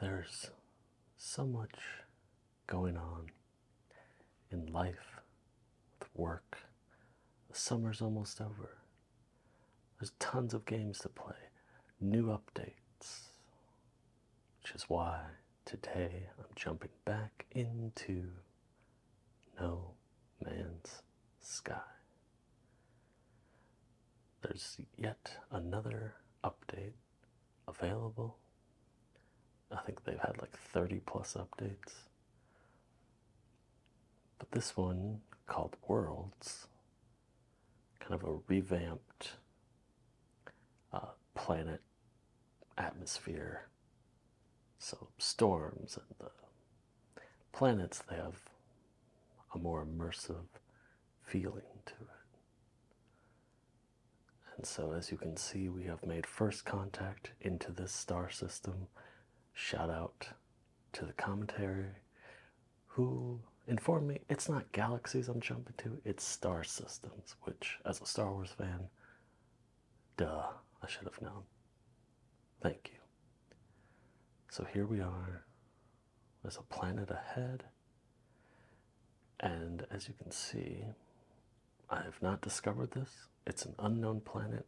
There's so much going on in life, with work. The summer's almost over. There's tons of games to play, new updates, which is why today I'm jumping back into No Man's Sky. There's yet another update available. I think they've had like 30 plus updates. But this one, called Worlds, kind of a revamped uh, planet atmosphere. So, storms and the planets, they have a more immersive feeling to it. And so, as you can see, we have made first contact into this star system. Shout out to the commentary who informed me it's not galaxies I'm jumping to, it's star systems, which, as a Star Wars fan, duh, I should have known. Thank you. So here we are there's a planet ahead. And as you can see, I have not discovered this. It's an unknown planet.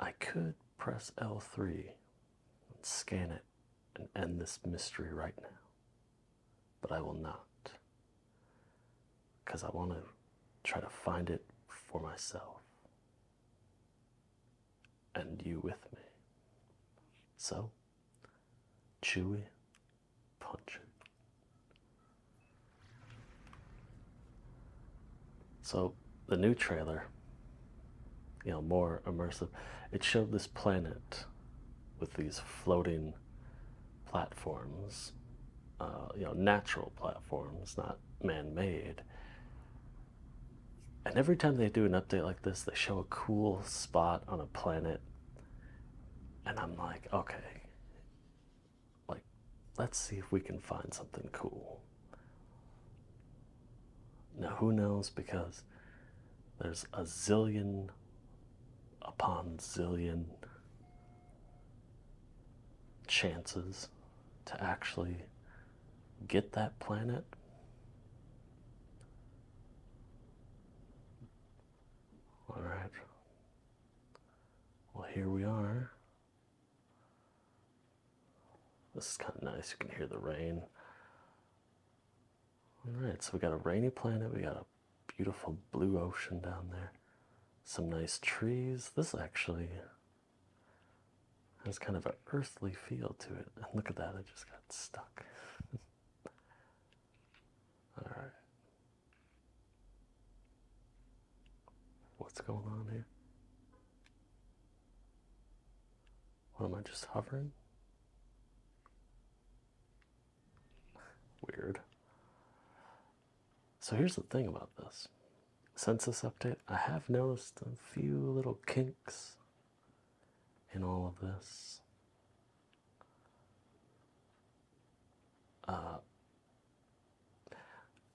I could press L3 and scan it and end this mystery right now. But I will not. Because I want to try to find it for myself and you with me. So, chewy, punchy. So the new trailer, you know, more immersive. It showed this planet with these floating platforms, uh, you know, natural platforms, not man-made. And every time they do an update like this, they show a cool spot on a planet and I'm like, okay, like, let's see if we can find something cool. Now, who knows? Because there's a zillion upon zillion chances to actually get that planet. All right. Well, here we are. This is kind of nice. You can hear the rain. All right, so we got a rainy planet. We got a beautiful blue ocean down there. Some nice trees. This actually has kind of an earthly feel to it. And look at that, I just got stuck. All right. What's going on here? What am I just hovering? Weird. So here's the thing about this census update. I have noticed a few little kinks in all of this. Uh,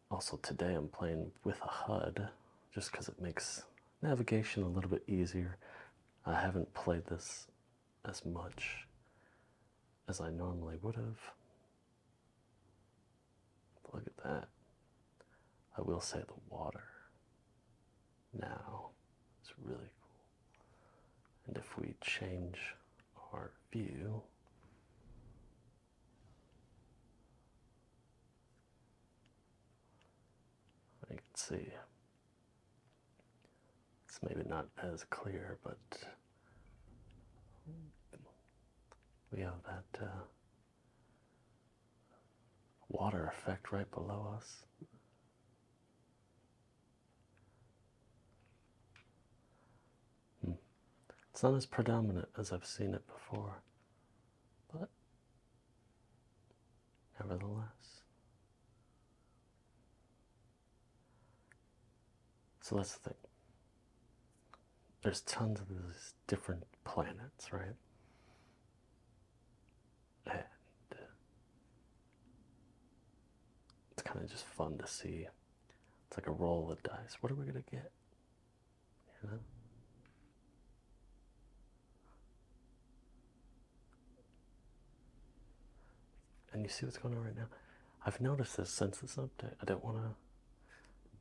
also, today I'm playing with a HUD just because it makes navigation a little bit easier. I haven't played this as much as I normally would have. Look at that. I will say the water now its really cool. And if we change our view, you can see it's maybe not as clear, but we have that uh, water effect right below us. It's not as predominant as I've seen it before, but nevertheless. So that's the thing. There's tons of these different planets, right? And uh, it's kind of just fun to see. It's like a roll of dice. What are we gonna get? You know? And you see what's going on right now. I've noticed this since this update. I don't want to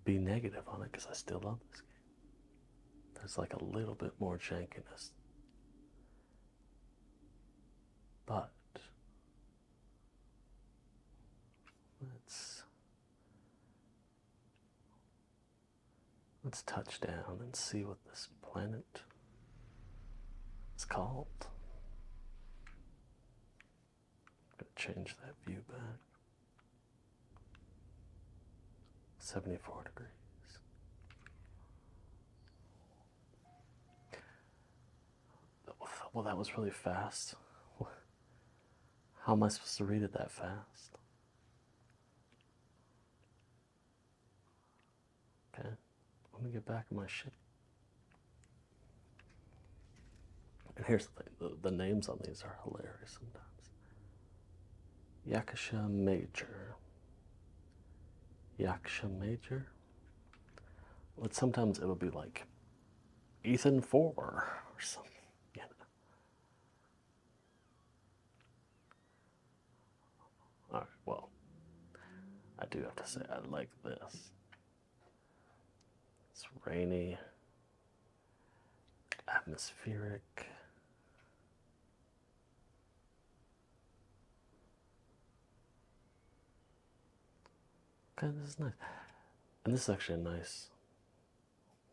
be negative on it because I still love this game. There's like a little bit more jankiness but let's let's touch down and see what this planet is called. I'm gonna change that view back. 74 degrees. Well, that was really fast. How am I supposed to read it that fast? Okay, let me get back in my shit. And here's the thing the, names on these are hilarious sometimes. Yakasha Major. Yaksha Major. But sometimes it'll be like Ethan Four or something. You All right. Well, I do have to say I like this. It's rainy, atmospheric. Okay, this is nice. And this is actually a nice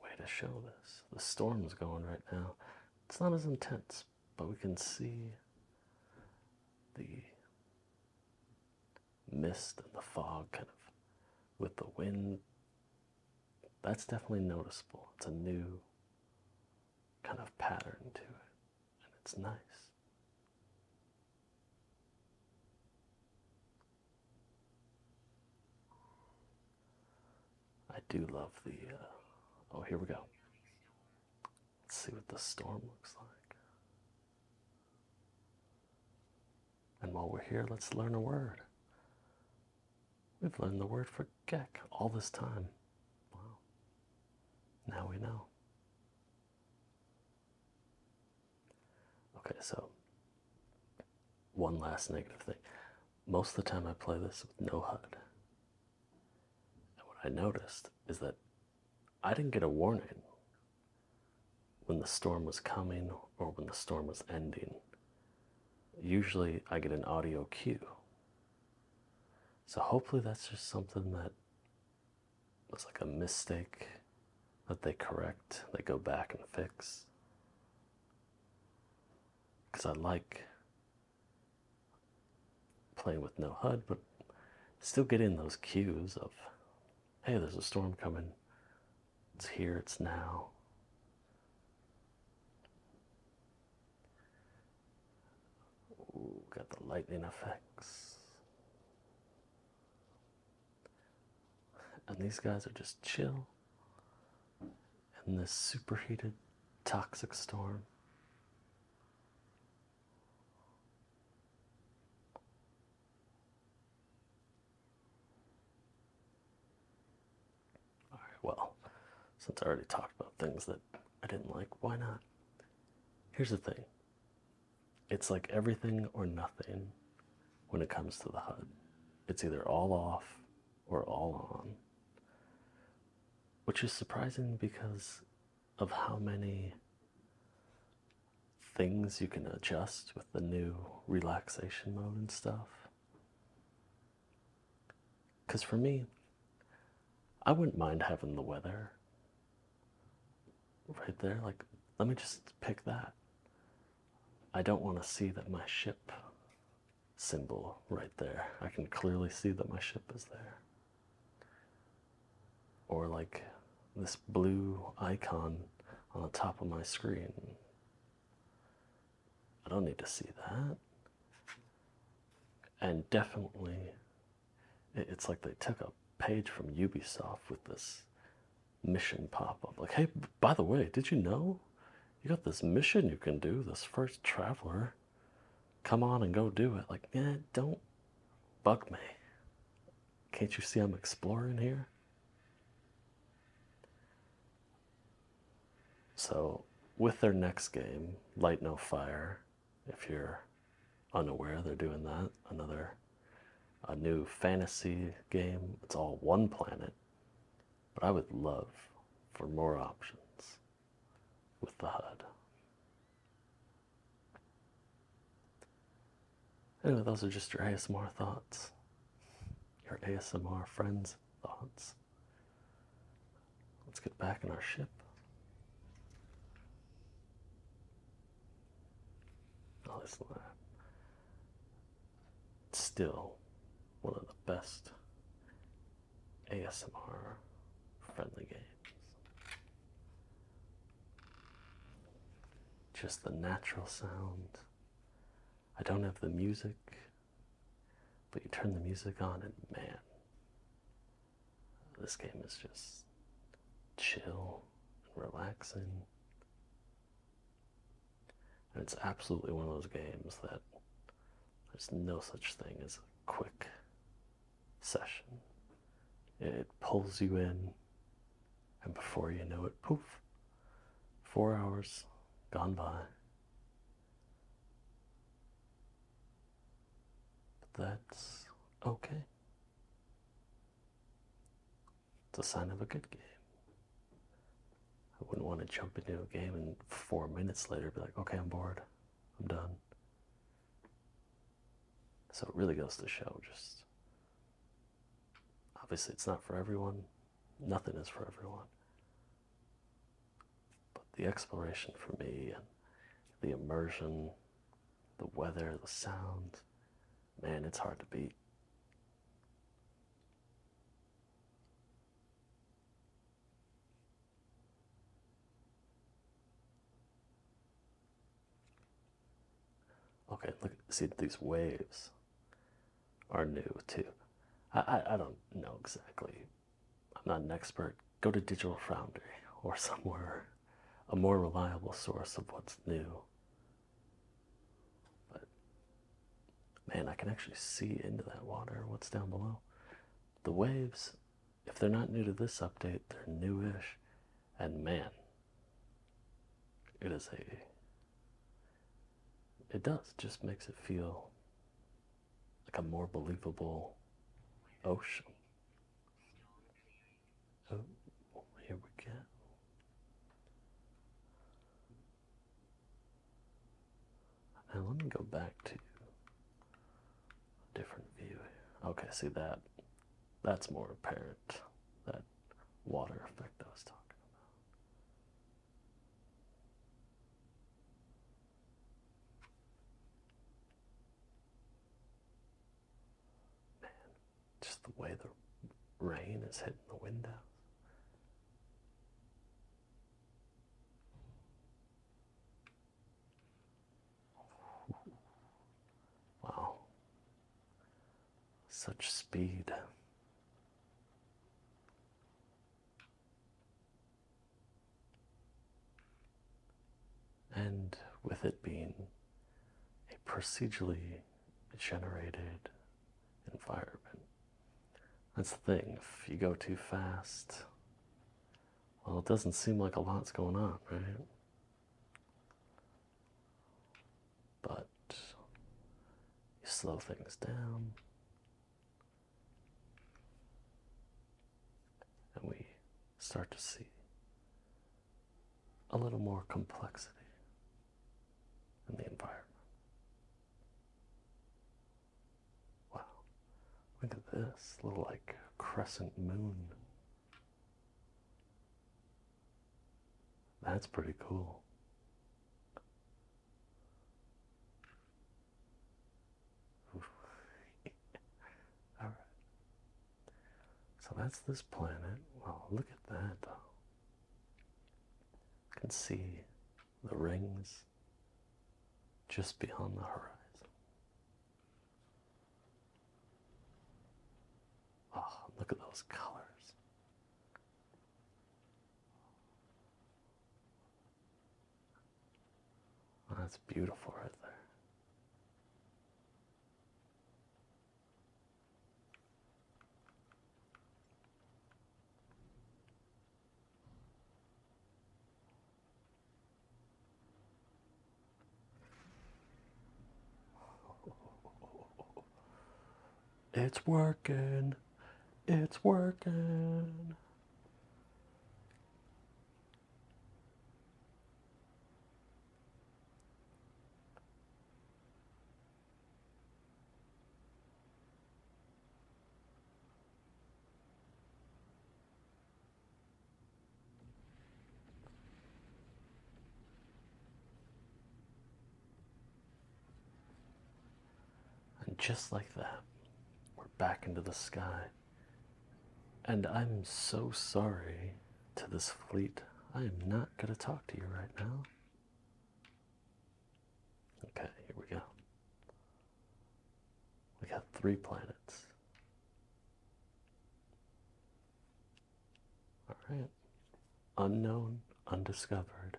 way to show this. The storm is going right now. It's not as intense, but we can see the mist and the fog kind of with the wind. That's definitely noticeable. It's a new kind of pattern to it and it's nice. I do love the. Uh, oh, here we go. Let's see what the storm looks like. And while we're here, let's learn a word. We've learned the word for geck all this time. Wow. Now we know. Okay, so one last negative thing. Most of the time I play this with no HUD. And what I noticed is that I didn't get a warning when the storm was coming or when the storm was ending. Usually I get an audio cue. So hopefully that's just something that it's like a mistake that they correct, they go back and fix. Because I like playing with no HUD, but still getting those cues of hey, there's a storm coming, it's here, it's now got the lightning effects. And these guys are just chill in this superheated toxic storm. All right, well, since I already talked about things that I didn't like, why not? Here's the thing it's like everything or nothing when it comes to the HUD. It's either all off or all on, which is surprising because of how many things you can adjust with the new relaxation mode and stuff. Because for me, I wouldn't mind having the weather right there. Like, let me just pick that. I don't want to see that my ship symbol right there. I can clearly see that my ship is there. Or, like, this blue icon on the top of my screen. I don't need to see that. And definitely it's like they took a page from Ubisoft with this mission pop up. Like, hey, by the way, did you know you got this mission you can do? This first traveler, come on and go do it. Like, eh, don't bug me. Can't you see I'm exploring here? So, with their next game, Light No Fire, if you're unaware they're doing that. Another a new fantasy game. It's all one planet. But I would love for more options with the HUD. Anyway, those are just your ASMR thoughts, your ASMR friends' thoughts. Let's get back in our ship. Oh, this lab. Still one of the best ASMR friendly games. Just the natural sound. I don't have the music, but you turn the music on, and man, this game is just chill and relaxing. And it's absolutely one of those games that there's no such thing as a quick session. It pulls you in, and before you know it, poof, four hours gone by. That's okay. It's a sign of a good game. I wouldn't want to jump into a game and four minutes later be like, okay, I'm bored. I'm done. So it really goes to show just obviously it's not for everyone. Nothing is for everyone. But the exploration for me and the immersion the weather, the sound, Man, it's hard to beat. Okay, look, see these waves are new too. I, I don't know exactly. I'm not an expert go to Digital Foundry or somewhere, a more reliable source of what's new. But man, I can actually see into that water what's down below. The waves, if they're not new to this update, they're newish. And man, it is a. It does, just makes it feel like a more believable ocean. So oh, here we go. Now let me go back to a different view Okay, see that? That's more apparent. That water effect I was talking about. Man, just the way the rain is hitting the windows. Wow, such speed and with it being a procedurally generated environment. That's the thing, if you go too fast, well, it doesn't seem like a lot's going on, right? But you slow things down, and we start to see a little more complexity in the environment. Wow, look at this little like crescent moon. That's pretty cool. All right. So that's this planet. Well, look at that though. You can see the rings just beyond the horizon. Oh, look at those colors. That's beautiful right there. It's working. It's working. And just like that, we're back into the sky and I'm so sorry to this fleet. I am not going to talk to you right now. Okay, here we go. We got three planets. All right. Unknown, undiscovered.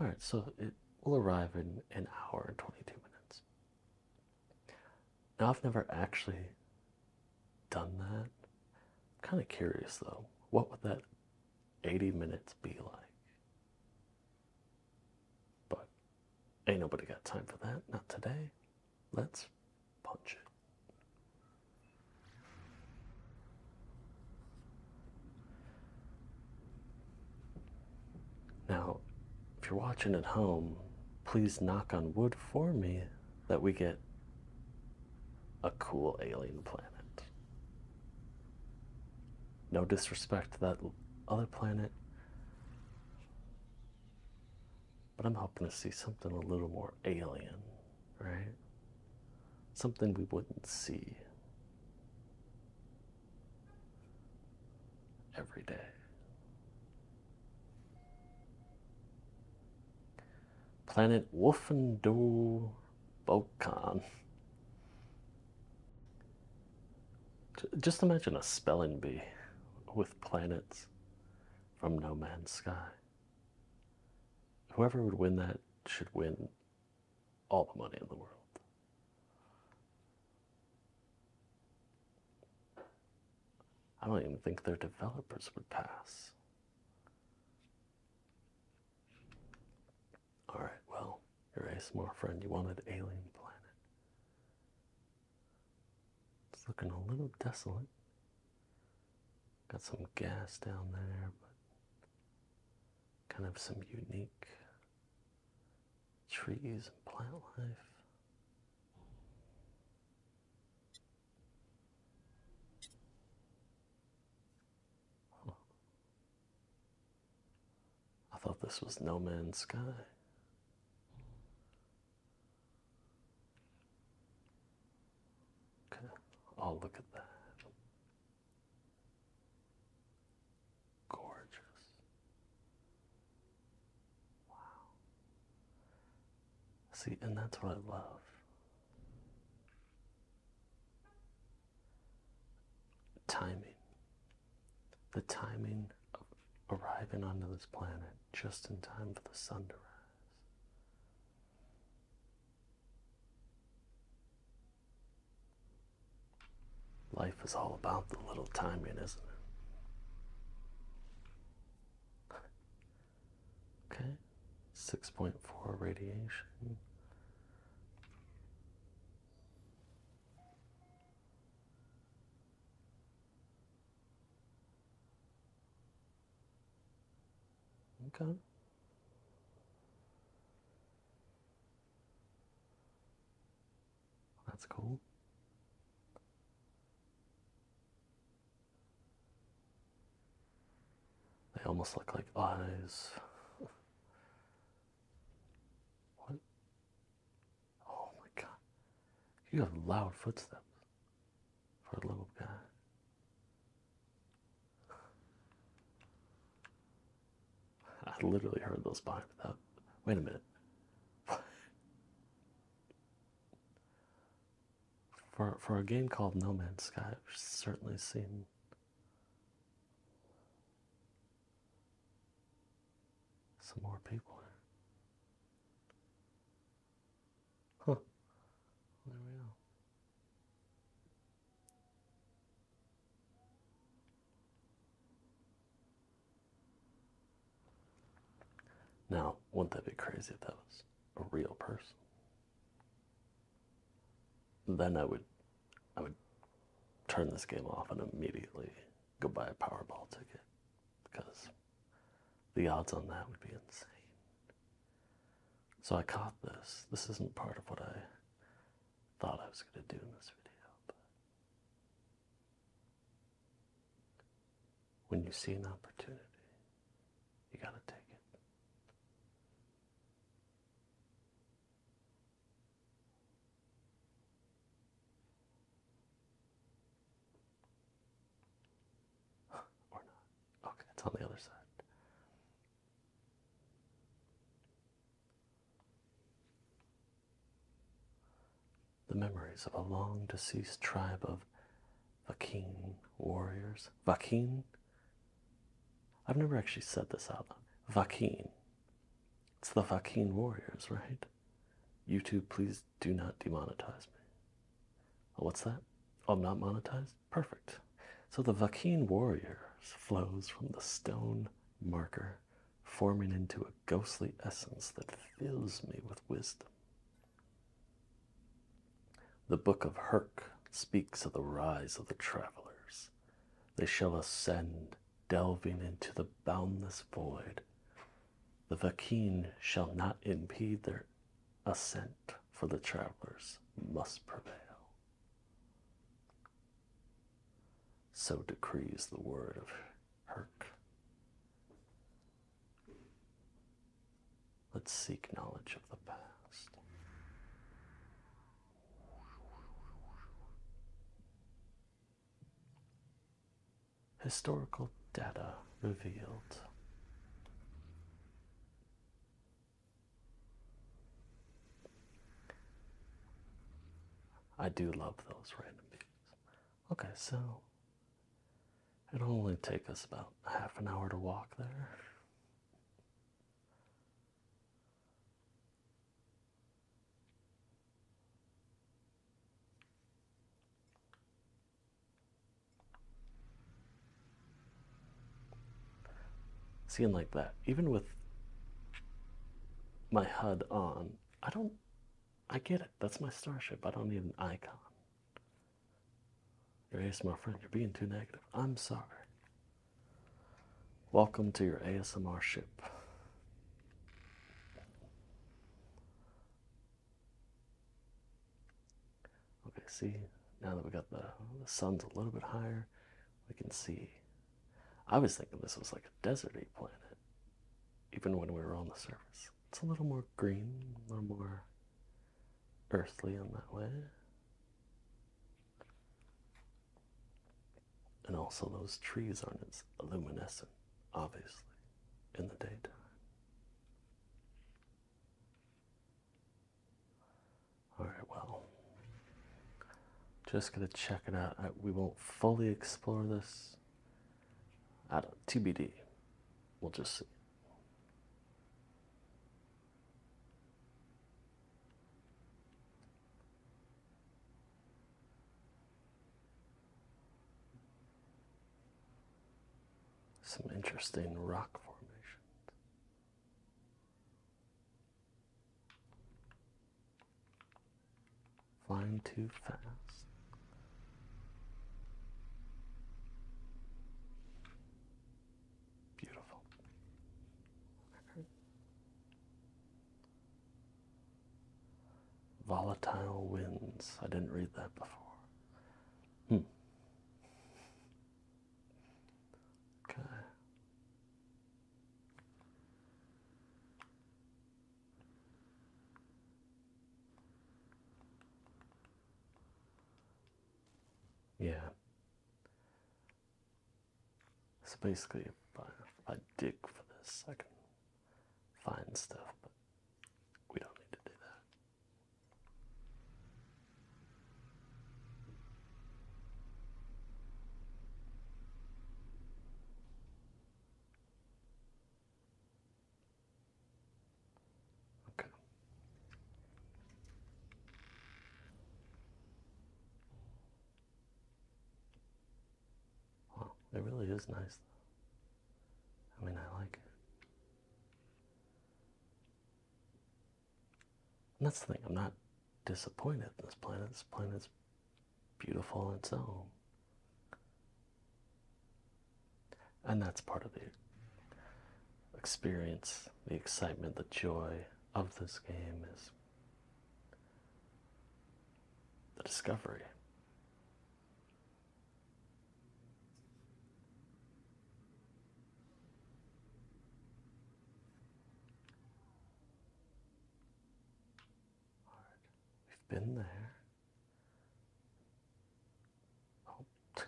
All right, so it will arrive in an hour and 22 minutes. Now, I've never actually done that. kind of curious though, what would that 80 minutes be like? But ain't nobody got time for that, not today. Let's punch it. Now, if you're watching at home, please knock on wood for me that we get a cool alien planet. No disrespect to that other planet, but I'm hoping to see something a little more alien, right? Something we wouldn't see every day. Planet Wolfendow Bokan. Just imagine a spelling bee with planets from No Man's Sky. Whoever would win that should win all the money in the world. I don't even think their developers would pass. Alright, well, your ASMR friend, you wanted Alien Planet. It's looking a little desolate. Got some gas down there, but kind of some unique trees and plant life. I thought this was No Man's Sky. Okay, oh, look at that. Gorgeous. Wow. See, and that's what I love. Timing. The timing of arriving onto this planet just in time for the sun to rise. Life is all about the little timing, isn't it? Okay, 6.4 radiation. Okay. That's cool. They almost look like eyes. What? Oh my god. You have loud footsteps for a little guy. I literally heard those behind without. Wait a minute for for a game called No Man's Sky, I've certainly seen some more people Huh. There we go. Now, wouldn't that be crazy if that was a real person. Then I would I would turn this game off and immediately go buy a Powerball ticket because the odds on that would be insane. So I caught this. This isn't part of what I thought I was going to do in this video. But when you see an opportunity, you got to take it. or not. Okay, it's on the other side. The memories of a long deceased tribe of Vakin warriors. Vakin. I've never actually said this out loud. Vakin. It's the Vakin warriors, right? YouTube, please do not demonetize me. Oh, what's that? Oh, I'm not monetized? Perfect. So the Vakin warriors flows from the stone marker, forming into a ghostly essence that fills me with wisdom. The book of Herc speaks of the rise of the travelers. They shall ascend, delving into the boundless void. The Vakin shall not impede their ascent, for the travelers must prevail. So decrees the word of Herc. Let's seek knowledge of the past. Historical data revealed. I do love those random pieces. Okay, so It'll only take us about half an hour to walk there. Seeing like that, even with my HUD on, I don't, I get it. That's my starship. I don't need an icon. Your my friend, you're being too negative. I'm sorry. Welcome to your ASMR ship. Okay, see, now that we got the, the sun's a little bit higher, we can see. I was thinking this was like a deserty planet, even when we were on the surface. It's a little more green, a little more earthly in that way. And also, those trees aren't as luminescent, obviously, in the daytime. All right, well, just gonna check it out. we won't fully explore this. I don't, TBD. We'll just see. Some interesting rock formations. Flying too fast. Beautiful. Volatile winds. I didn't read that before. Hmm. Okay. Yeah. So basically, if I, dig for this, I can find stuff, but we don't need to do that. Okay. Wow, it really is nice. Though. I mean, I like it. And that's the thing, I'm not disappointed this planet. This planet's beautiful in itself and that's part of the experience, the excitement, the joy of this game is the discovery. right. We've been there. Oh.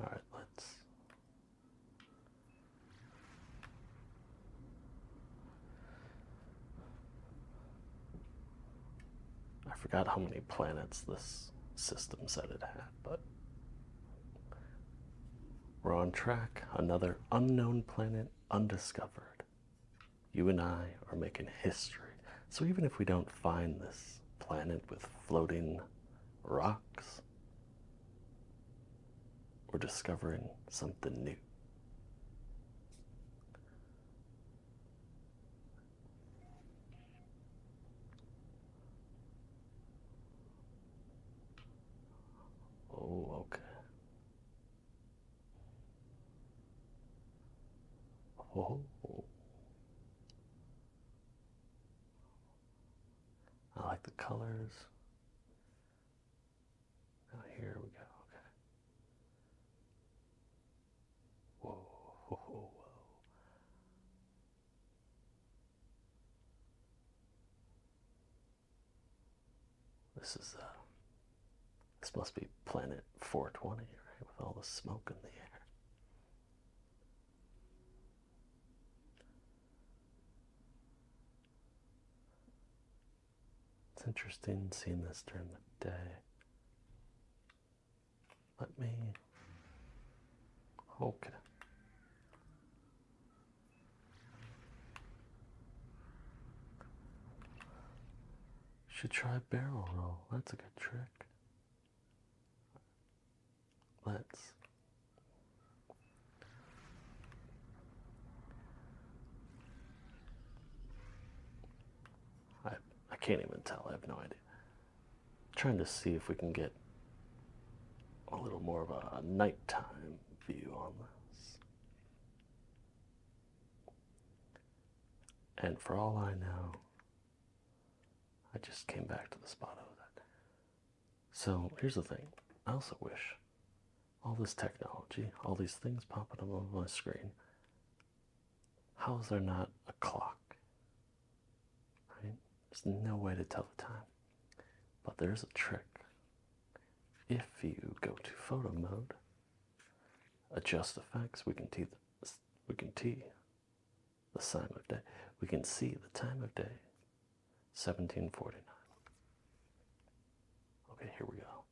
All right, let's. I forgot how many planets this system said it had, but we're on track. Another unknown planet undiscovered you and I are making history. So even if we don't find this planet with floating rocks, we're discovering something new. Oh, okay. Oh. I like the colors. Now oh, here we go. Okay. This is, uh, this must be planet 420, right? With all the smoke in the air. It's interesting seeing this during the day. Let me. Okay. Should try barrel roll. That's a good trick. Let's. I I can't even tell. I have no idea. trying to see if we can get a little more of a nighttime view on this. And for all I know, I just came back to the spot of that. So here's the thing I also wish all this technology, all these things popping up on my screen, how is there not a clock? Right? There's no way to tell the time. But there's a trick. If you go to photo mode adjust the facts. We can see the, we can see the time of day. We can see the time of day. 1749. Okay, here we go.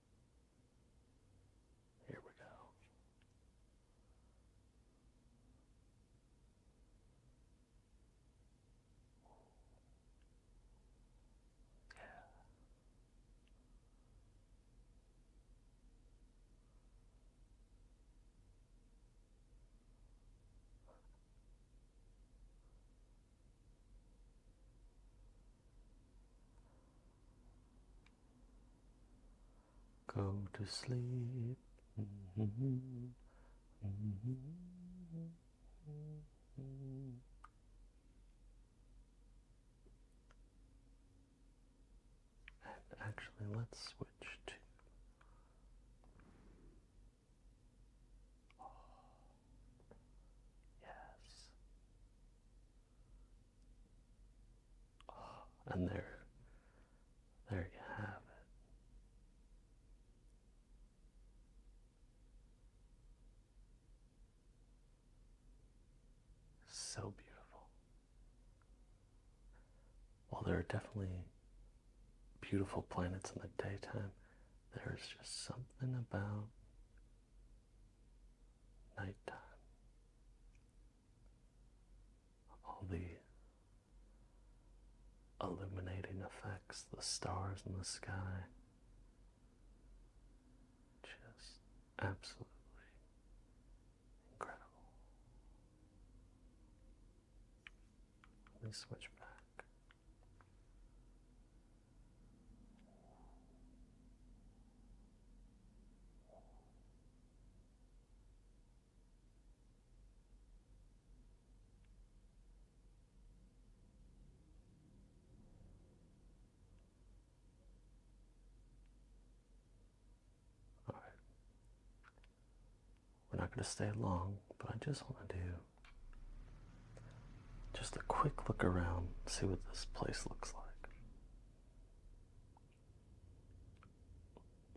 Here we go. Yeah. Go to sleep. Mm-hmm. Mm-hmm. Mm-hmm. And actually, let's switch to. yes. and there, there you have it. So beautiful. While there are definitely beautiful planets in the daytime, there is just something about nighttime. All the illuminating effects, the stars in the sky, just absolutely incredible. Let me switch back. All right. We're not going to stay long, but I just want to do just a quick look around, see what this place looks like.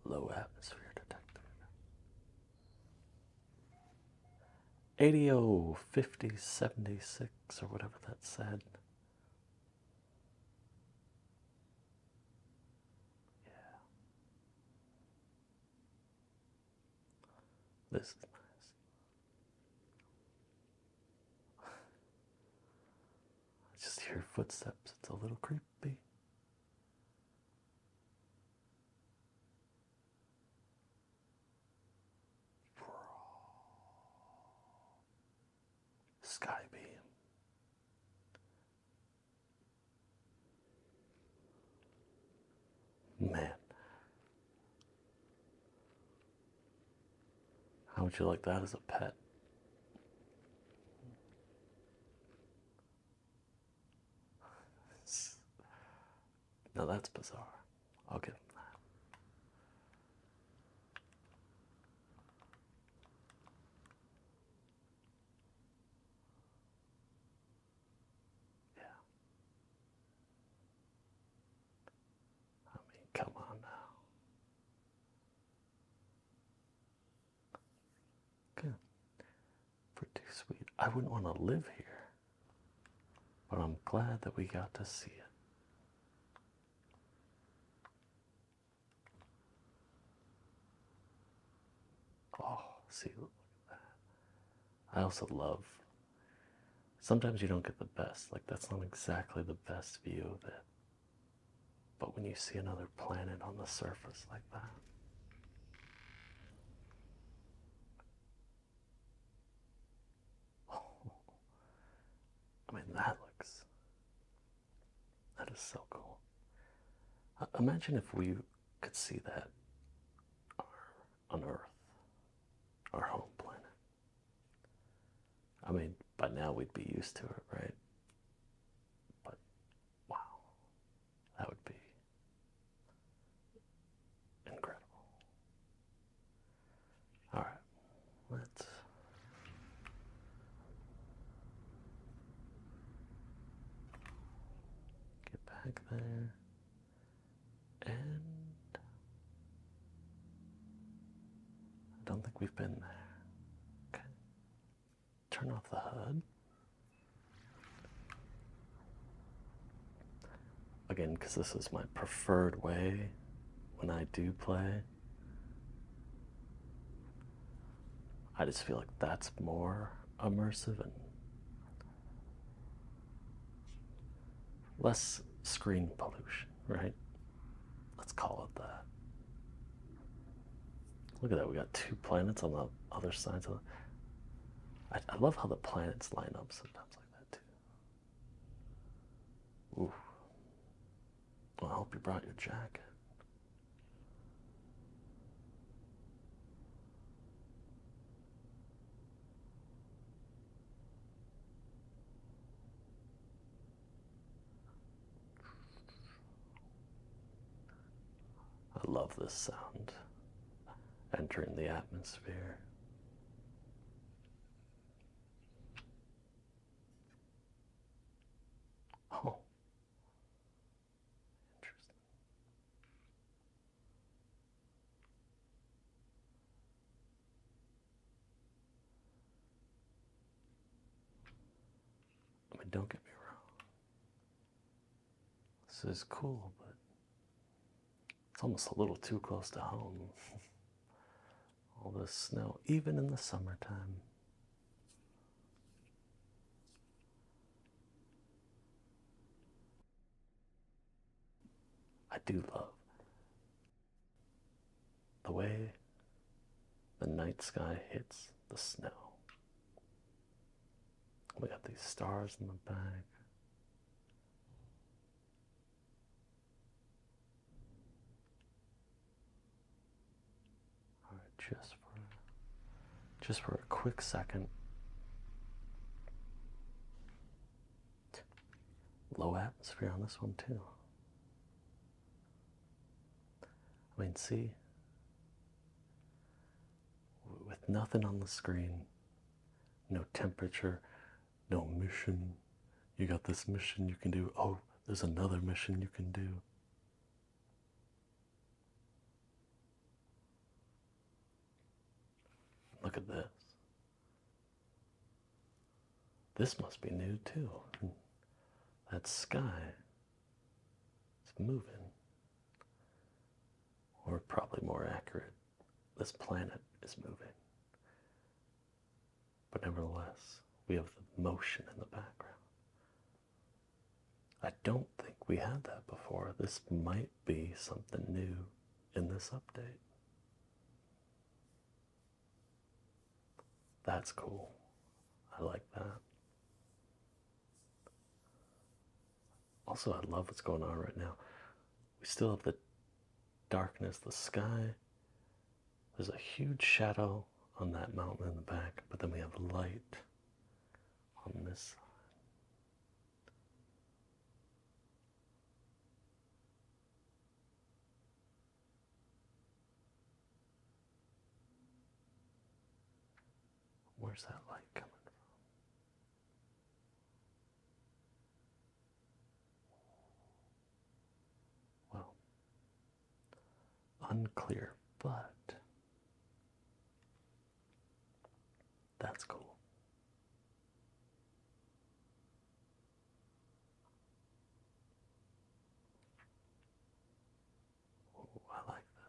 Low atmosphere detector. ADO 5076 or whatever that said. Yeah. This is nice. I just hear footsteps. It's a little creepy. Skybeam. Man, how would you like that as a pet? Now that's bizarre. I'll give that. Yeah. I mean, come on now. Good. Pretty sweet. I wouldn't want to live here, but I'm glad that we got to see it. Oh, see, that. I also love. Sometimes you don't get the best. Like, that's not exactly the best view of it. But when you see another planet on the surface like that, I mean, that looks. That is so cool. imagine if we could see that on Earth, our home planet. I mean, by now we'd be used to it, right? But wow, that would be incredible. All right, let's. Get back there and I don't think we've been there. Okay. Turn off the HUD. Again, because this is my preferred way when I do play. I just feel like that's more immersive and less screen pollution, right? Let's call it that. Look at that, we got two planets on the other sides of the. I, love how the planets line up sometimes like that, too. I hope you brought your jacket. I love this sound entering the atmosphere. Oh. Interesting. But don't get me wrong. This is cool, but it's almost a little too close to home. all the snow, even in the summertime. I do love the way the night sky hits the snow. We got these stars in the back just for just for a quick second. Low atmosphere on this one too. I mean, see, with nothing on the screen, no temperature, no mission, you got this mission you can do. Oh, there's another mission you can do. Look at this. This must be new too. That sky is moving. Or, probably more accurate, this planet is moving. But nevertheless, we have the motion in the background. I don't think we had that before. This might be something new in this update. That's cool. I like that. Also, I love what's going on right now. We still have the darkness, the sky, there's a huge shadow on that mountain in the back, but then we have light on this side. Where's that light coming from? Well, unclear, but that's cool. I like this.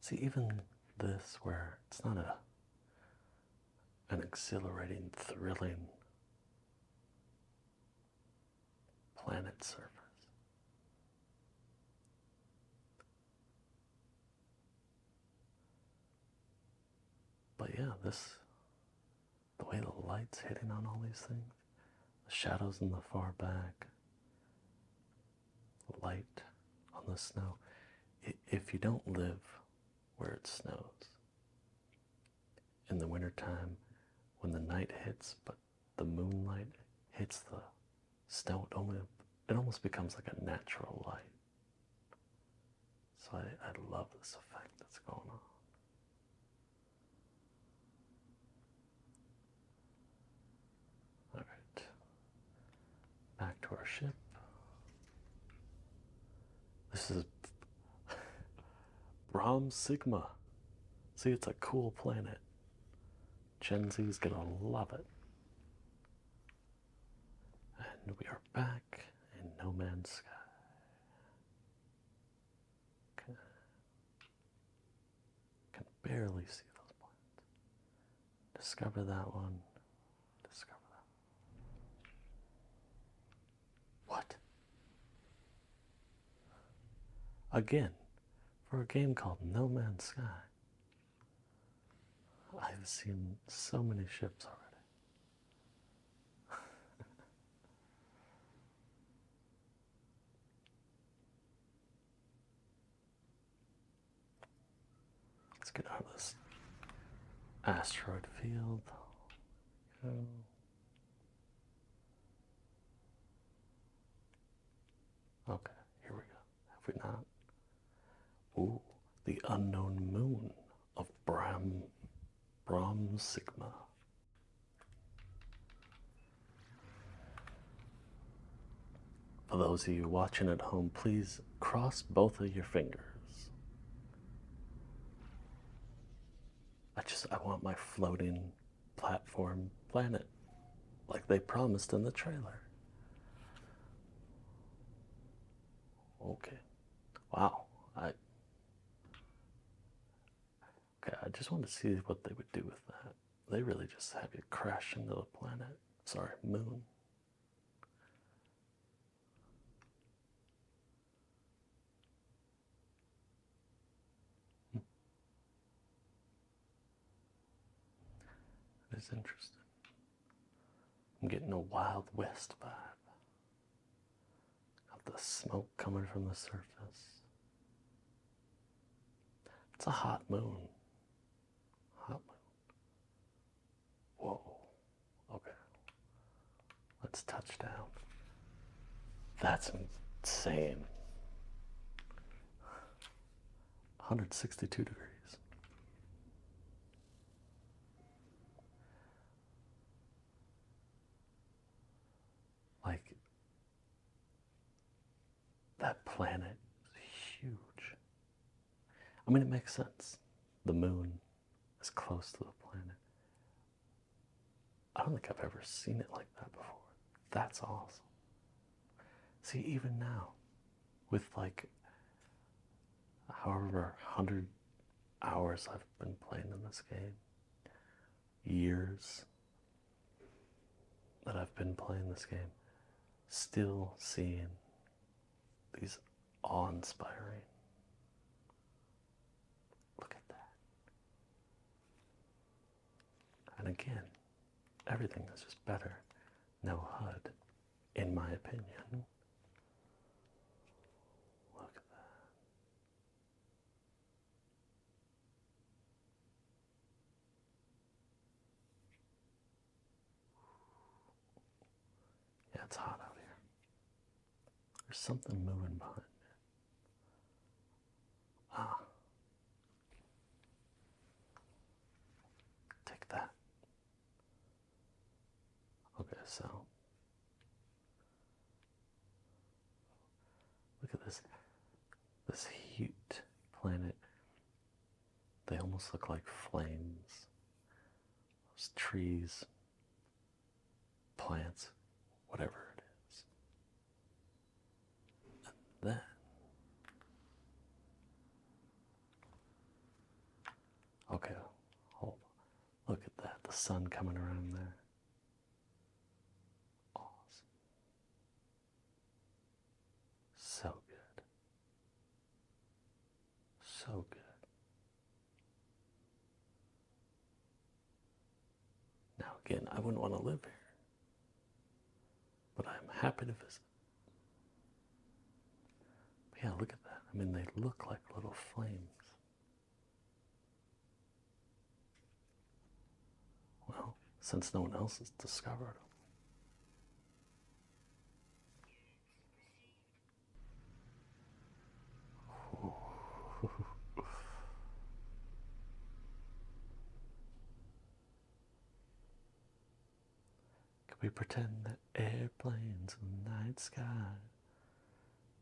See, even this, where it's not a an exhilarating, thrilling planet surface. But yeah, this the way the light's hitting on all these things, the shadows in the far back, light on the snow. If you don't live where it snows, in the wintertime when the night hits, but the moonlight hits the snow. It, it almost becomes like a natural light. So I, I love this effect that's going on. All right, back to our ship. This is Brahm Sigma. See, it's a cool planet. Gen is gonna love it. And we are back in No Man's Sky. Can barely see those planets. Discover that one. Discover that. What? Again, for a game called No Man's Sky. I've seen so many ships already. Let's get out of this asteroid field. Okay, here we go. Have we not? Ooh, the unknown moon of Brahm Brahm Sigma. For those of you watching at home, please cross both of your fingers. I just I want my floating platform planet like they promised in the trailer. Okay. Wow. I Okay, I just wanted to see what they would do with that. They really just have you crash into the planet. Sorry, moon. Hmm. That is interesting. I'm getting a Wild West vibe. Of the smoke coming from the surface. It's a hot moon. Hot moon. Whoa. Okay. Let's touch down. That's insane. 162 degrees. Like that planet is huge. I mean, it makes sense. The moon is close to the planet. I don't think I've ever seen it like that before. That's awesome. See, even now, with like however hundred hours I've been playing in this game, years that I've been playing this game, still seeing these awe-inspiring. Look at that. And again, everything is just better. No HUD, in my opinion. Look at that. Yeah, it's hot out here. There's something moving behind me. Ah. Take that. Okay, so look at this this huge planet. They almost look like flames. Those trees, plants, whatever it is up Okay, hold Look at that, the sun coming around there. Awesome. So good. So good. Now, again, I wouldn't want to live here, but I'm happy to visit. But yeah, look at that. I mean, they look like little flames. Well, since no one else has discovered them. Could we pretend that airplanes in the night sky,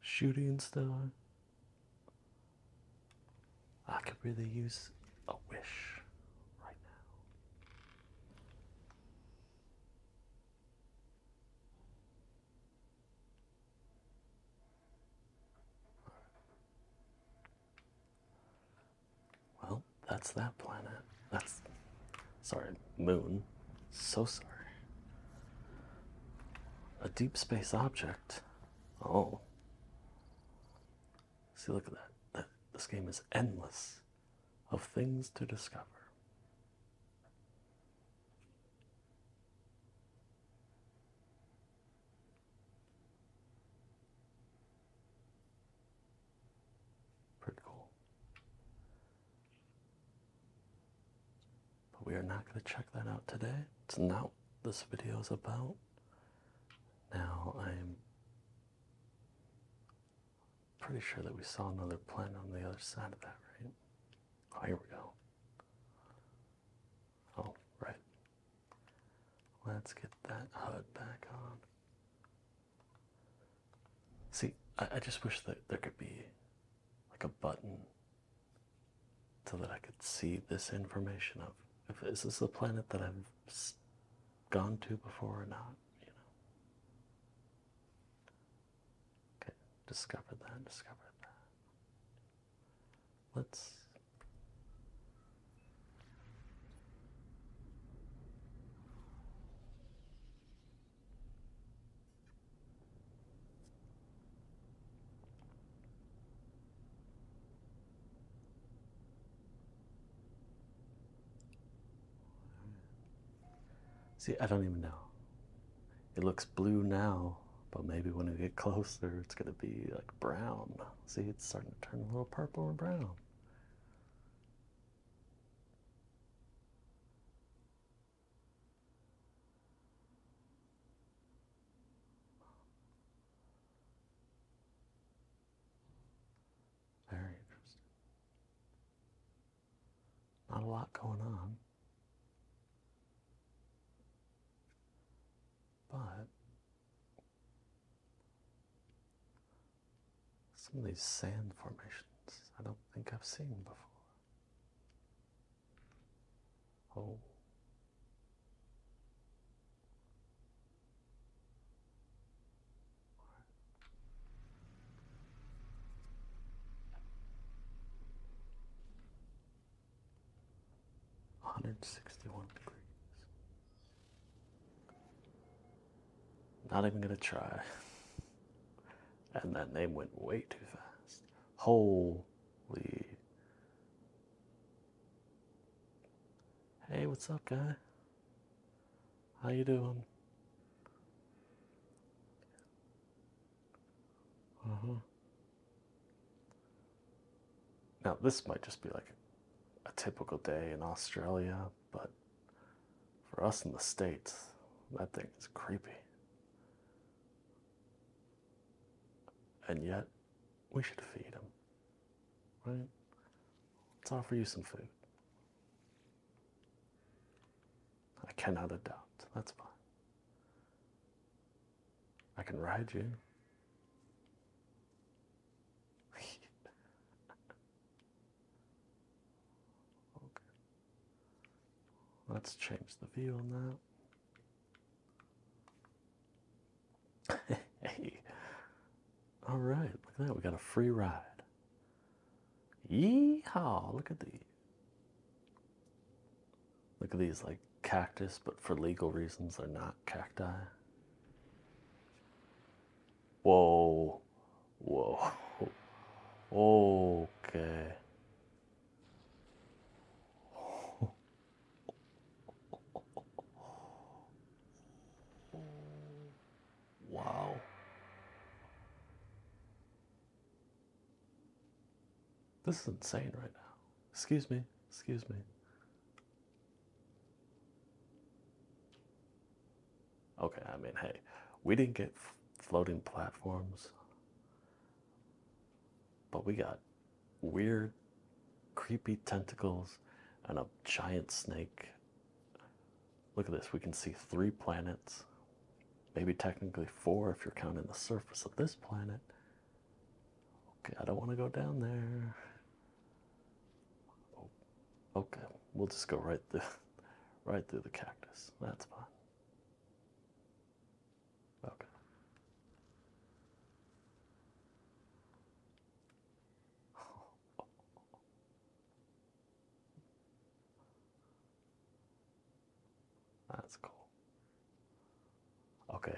shooting star? I could really use a wish right now. Well, that's that planet. That's sorry, moon. So sorry. A deep space object. Oh. See, look at that. that. This game is endless of things to discover. Pretty cool. But we are not going to check that out today. It's not this video is about. Now I'm pretty sure that we saw another planet on the other side of that, right? Oh, here we go. All oh, right. Let's get that HUD back on. See, I, I just wish that there could be like a button so that I could see this information of if is this a planet that I've gone to before or not, you know. Okay, discovered that, discovered that. Let's See, I don't even know. It looks blue now, but maybe when we get closer, it's going to be like brown. See, it's starting to turn a little purple and brown. Very interesting. Not a lot going on. But some of these sand formations I don't think I've seen before. Oh. 161 degrees. Not even gonna try. And then they went way too fast. Holy. Hey, what's up, guy? How you doing? Uh huh. Now, this might just be like a typical day in Australia, but for us in the States, that thing is creepy. And yet, we should feed him, right? Let's offer you some food. I cannot adopt. That's fine. I can ride you. okay. Let's change the view on that. hey. All right, look at that. We got a free ride. Yeehaw! Look at these. Look at these like cactus, but for legal reasons, they're not cacti. Whoa, whoa, okay. Wow. This is insane right now. Excuse me, excuse me. Okay, I mean, hey, we didn't get floating platforms, but we got weird, creepy tentacles and a giant snake. Look at this, we can see three planets, maybe technically four if you're counting the surface of this planet. Okay, I don't want to go down there. Oh, okay, we'll just go right through, right through the cactus. That's fine. Okay. That's cool. Okay,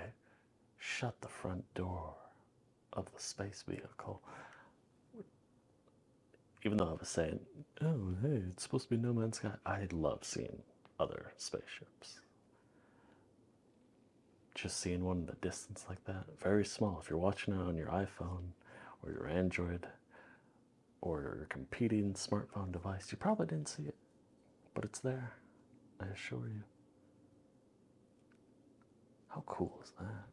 shut the front door of the space vehicle. Even though I was saying, oh, hey, it's supposed to be No Man's Sky, I love seeing other spaceships. Just seeing one in the distance like that, very small. If you're watching it on your iPhone or your Android or your competing smartphone device, you probably didn't see it, but it's there, I assure you. How cool is that?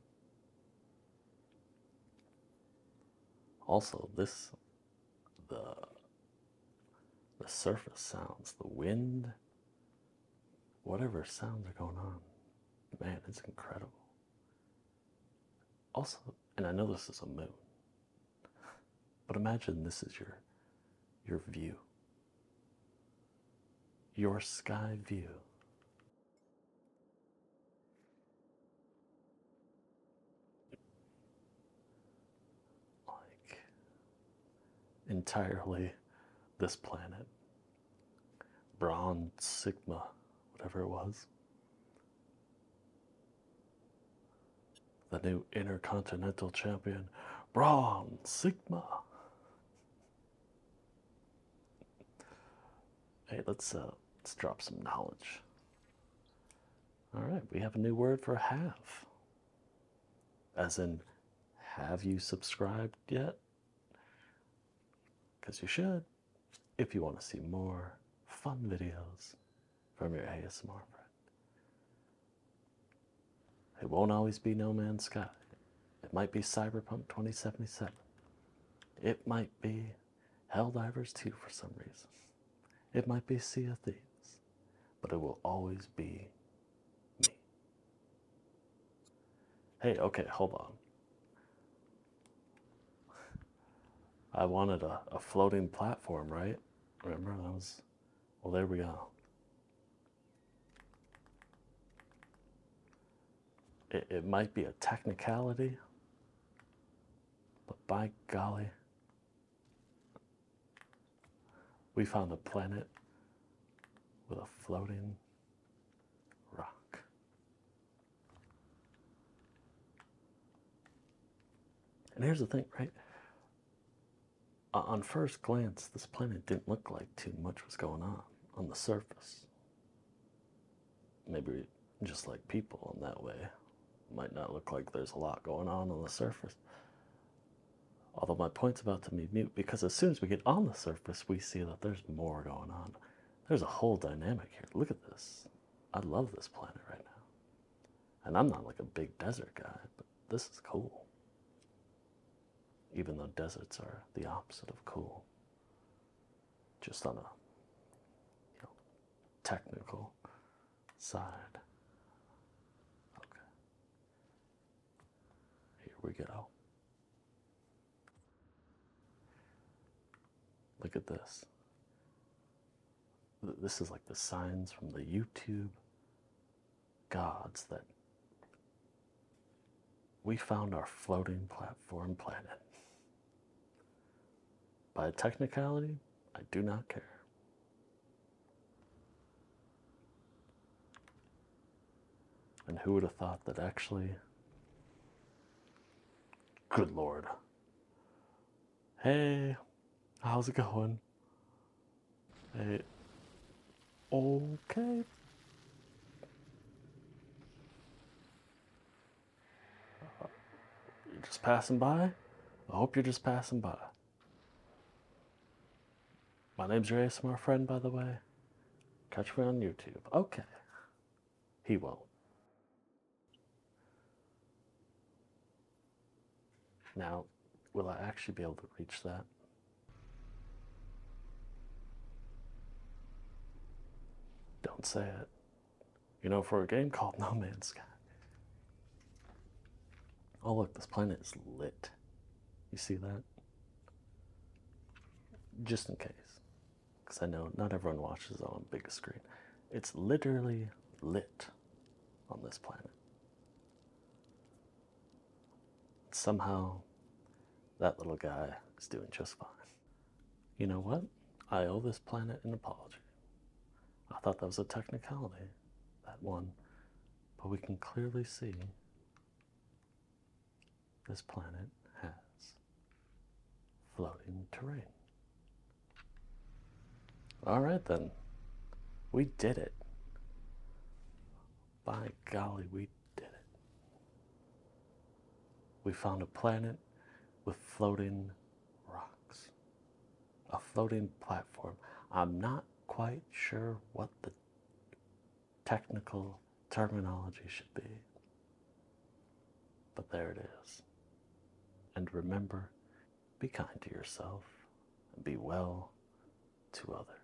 Also, this the the surface sounds, the wind, whatever sounds are going on. Man, it's incredible. Also, and I know this is a moon, but imagine this is your your view your sky view. Like entirely this planet, Braun Sigma, whatever it was. The new intercontinental champion, Braun Sigma. Hey, let's uh, let's drop some knowledge. All right, we have a new word for have. As in, have you subscribed yet? Because you should, if you want to see more fun videos from your ASMR friend. It won't always be No Man's Sky. It might be Cyberpunk 2077. It might be Helldivers 2 for some reason. It might be Sea of Thieves. But it will always be me. Hey, okay, hold on. I wanted a, floating platform, right? Remember, that was. Well, there we go. It, might be a technicality, but by golly, we found a planet with a floating rock. And here's the thing, right? Uh, on first glance, this planet didn't look like too much was going on on the surface. Maybe just like people in that way, it might not look like there's a lot going on on the surface. Although my point's about to be mute because as soon as we get on the surface, we see that there's more going on. There's a whole dynamic here. Look at this. I love this planet right now. And I'm not like a big desert guy, but this is cool even though deserts are the opposite of cool. Just on a technical side. Okay. Here we go. Look at this. This is like the signs from the YouTube gods that we found our floating platform planet. By technicality, I do not care. And who would have thought that actually, good lord. Hey, how's it going? Hey, Okay. you're uh, just passing by? I hope you're just passing by. My name's Ray. Smart friend, by the way. Catch me on YouTube. Okay. He won't. Now, will I actually be able to reach that? Don't say it. You know, for a game called No Man's Sky. Oh, look, this planet is lit. You see that? Just in case. Because I know not everyone watches on big screen. It's literally lit on this planet. Somehow, that little guy is doing just fine. You know what? I owe this planet an apology. I thought that was a technicality, that one, but we can clearly see this planet has floating terrain. All right, then. We did it by golly, we did it. We found a planet with floating rocks, a floating platform. I'm not quite sure what the technical terminology should be, but there it is. And remember, be kind to yourself and be well to others.